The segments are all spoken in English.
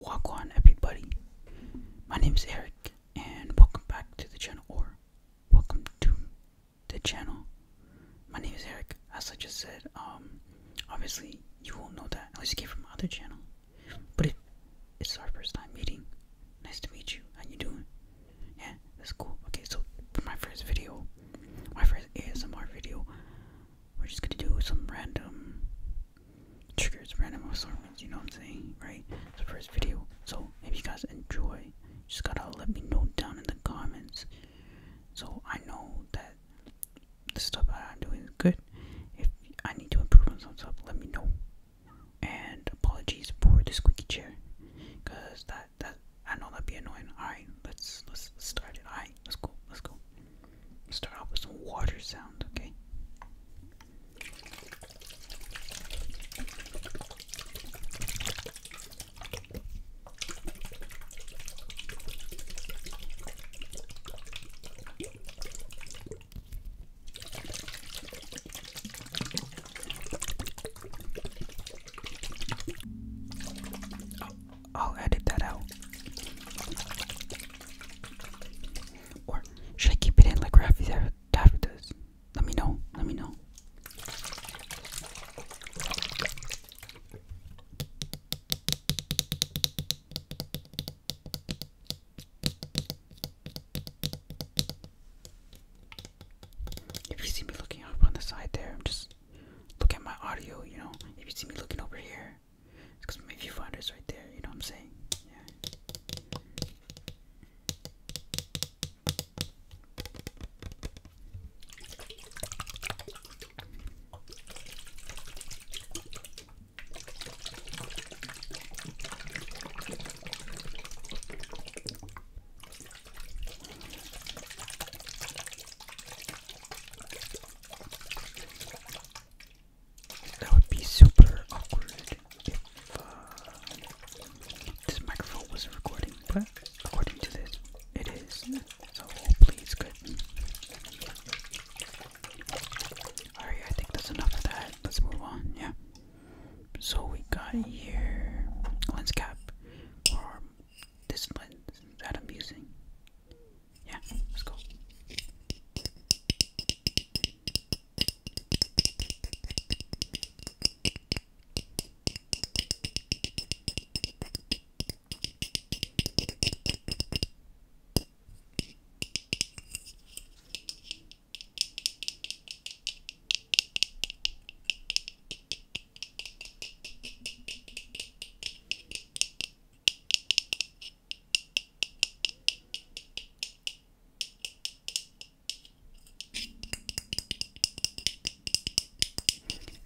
Welcome on everybody. My name is Eric and welcome back to the channel or welcome to the channel. My name is Eric. As I just said, um, obviously you will know that unless you came from my other channel. But it's our first time meeting, nice to meet you. How you doing? Yeah, that's cool. Okay, so for my first video, my first ASMR video, we're just gonna do some random triggers, random assortments, you know what I'm saying, right? It's the first video. So if you guys enjoy, just gotta let me know down in the comments so I know that the stuff I'm doing is good. If I need to improve on some stuff, let me know. And apologies for the squeaky chair. Cause that that I know that'd be annoying. Alright, let's let's let's start it. Alright, let's go, let's go start out with some water sounds, okay? I'll edit that out should I keep it in like Raffy Taffy does? Let me know. Let me know. If you see me looking up on the side there, just look at my audio, you know. If you see me looking over here, there. Because my viewfinder's right there, you know what I'm saying? Yeah. That would be super awkward if uh, this microphone wasn't recording, but according to this, it is. So hopefully good. Alright, I think that's enough of that. Let's move on, yeah. So we got here lens cap this lens that i yeah, let's go.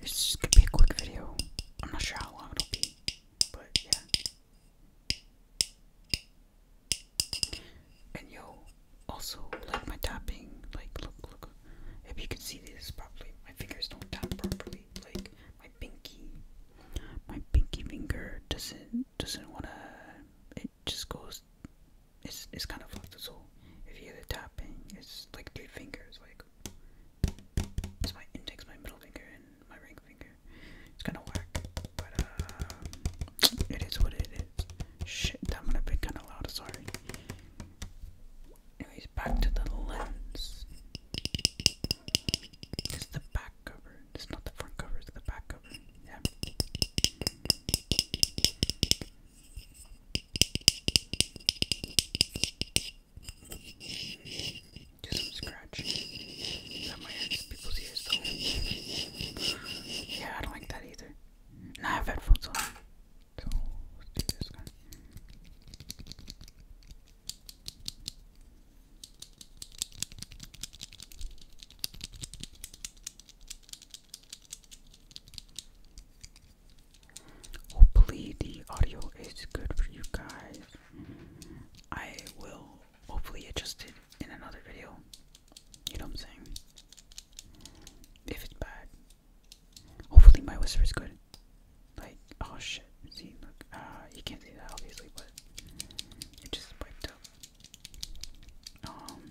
This could be a quick video. I'm not sure how long it'll be, but yeah. And yo, also like my tapping. Like, look, look. If you can see this properly, my fingers don't tap properly. Like my pinky my pinky finger doesn't doesn't wanna it just goes it's it's kind of fucked so if you hear the tapping it's like three fingers like it's my index my middle finger and my ring finger it's kind of whack but um it is what it is shit that might have been kind of loud sorry anyways back to the lens it's the back cover. It's not the front cover, it's the back cover. Yeah. Just some scratch. Is that my ears? People's ears Yeah, I don't like that either. I have headphones on. Hopefully, the audio is good for you guys. I will hopefully adjust it in another video. You know what I'm saying? If it's bad, hopefully, my whisper is good. Like, oh shit, see, look, uh, you can't see that obviously, but it just wiped up. Um,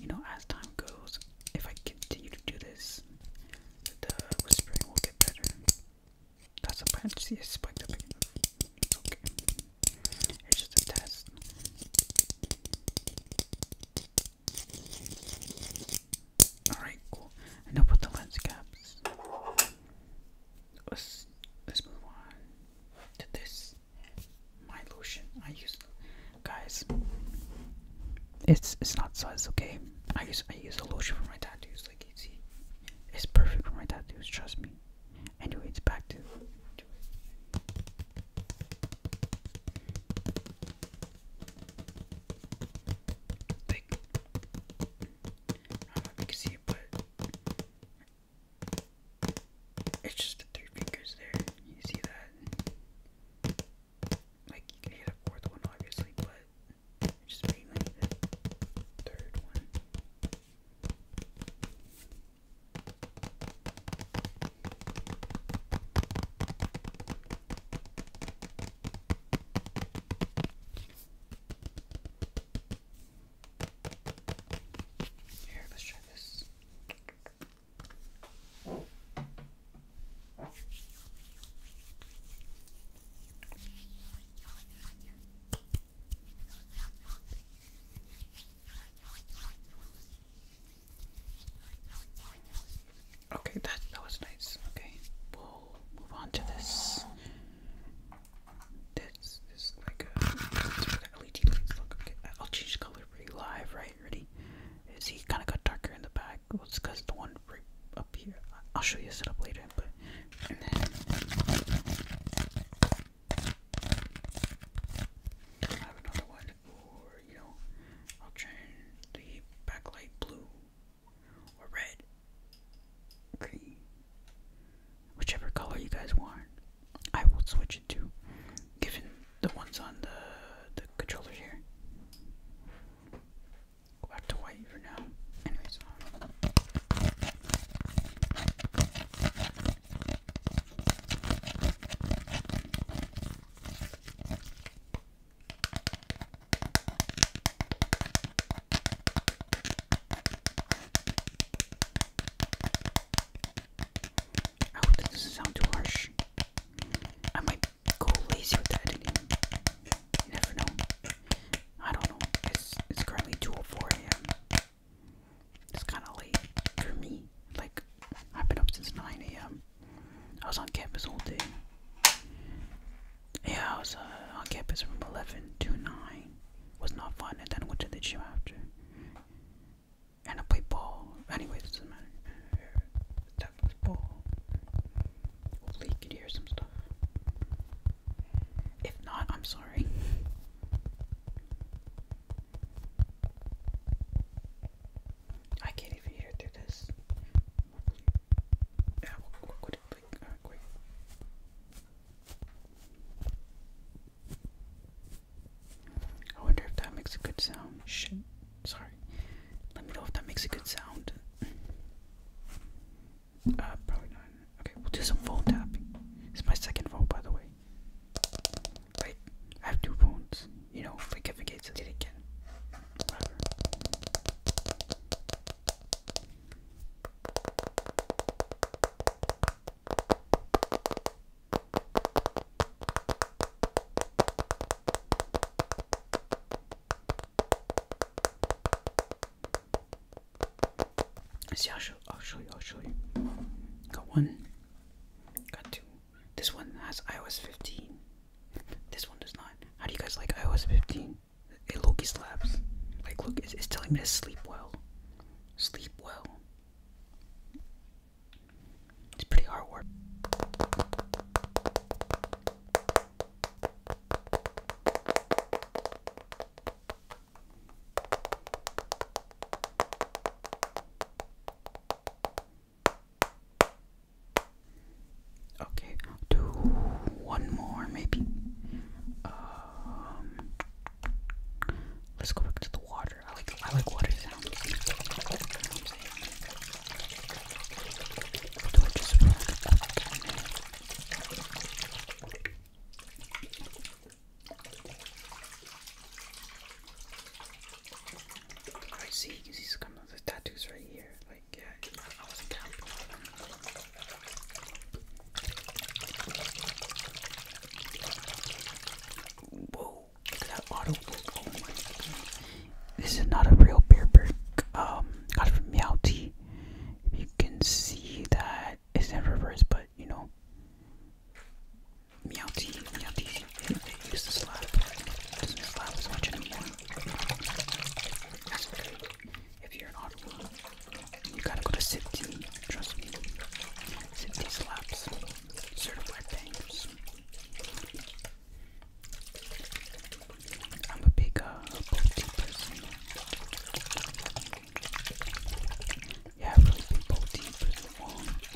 you know, as time goes, if I continue to do this, the whispering will get better. That's a branch, see, it spiked up again. okay. It's just a test. Alright, cool. Enough with the lens caps. Let's, let's move on to this. My lotion. I use guys. It's it's not size, okay? I use I use a lotion for my tattoos, like you see. It's perfect for my tattoos, trust me. Anyway, it's back to, I don't know if you can see it, but it's just the three fingers there. You see that? Like you can hit a fourth one, obviously, but just mainly the third one. Here, let's try this. Okay, that that was nice. Okay, move on to this. This is uh, like a it's where the LED lights Okay, I'll change color pretty live, right? Ready? Is he kind of got darker in the back? Well, it's because the one right up here. I'll show you a setup later, but I have another one, or you I'll turn the backlight blue or red, green, whichever color you guys want. I will switch it to, given the ones on the the controllers here. Go back to white for now. Anyways. I oh, hope that doesn't sound too harsh. I might go lazy with the editing. You never know. I don't know. It's it's currently 2:04 a.m. It's kind of late for me. Like I've been up since 9 a.m. I was on campus all day. Yeah, I was uh, on campus from 11 to 9. Was not fun, and then I went to the gym after. And I played ball. Anyway, this doesn't matter. That was ball. Hopefully, you could hear some stuff. If not, I'm sorry. I can't even hear through this. I wonder if that makes a good sound. Shit. Sorry. Let me know if that makes a good sound. Uh, probably not. Okay, we'll do some phone tapping. It's my second phone, by the way. Like, I have two phones. You know, like if it gets it again. See, I'll show, I'll show you, I'll show you. Got one, got two. This one has iOS 15. This one does not. How do you guys like iOS 15? Hey, Loki slaps. Like, look, it's, it's telling me to sleep well. Sleep well. It's pretty hard work. Okay, do one more maybe. Um, let's go back to the water. I like I like water sounds. i see, you can the tattoos right here like yeah, I was camping. Whoa, look at that auto oh my god. This is not a real beer bird. Um got it from Meowty. You can see that it's in reverse, but you know Meowty, Meowty, it used to slap. It doesn't slap as much anymore. If you're not, you gotta go to SIPD, trust me. SIPD slaps, certified bangers. I'm a big uh, person. Yeah, really big bolty person.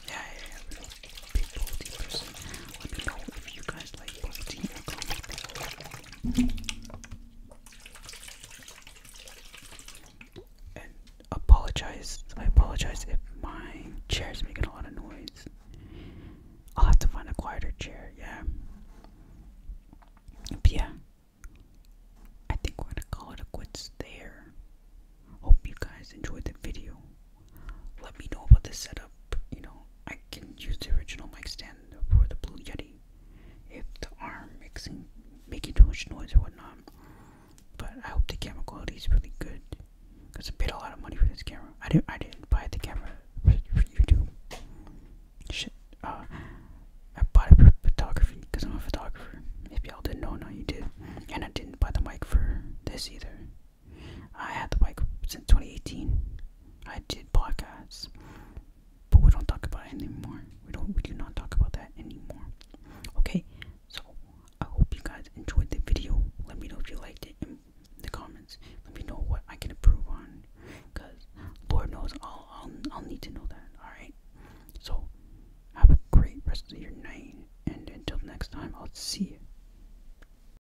yeah, yeah, yeah, really big bolty person. Let apologize, I apologize if my chair is making a lot of noise. I'll have to find a quieter chair, yeah. But yeah, I think we're gonna call it quits there. Hope you guys enjoyed the video. Let me know about this setup. You know, I can use the original mic stand for the Blue Yeti if the arm mixing making too much noise or whatnot. But I hope the camera quality is really good because I paid a lot of money for this camera. I didn't I didn't buy the camera for, YouTube. Shit, uh, I bought it for photography because I'm a photographer. If y'all didn't know, now you did. And I didn't buy the mic for this either. I had the bike since 2018. I did podcasts, but we don't talk about it anymore. We don't. We do not talk about that anymore. Okay. So I hope you guys enjoyed the video. Let me know if you liked it in the comments. Let me know what I can improve on, cause Lord knows I'll I'll, I'll need to know that. All right. So have a great rest of your night, and until next time, I'll see you.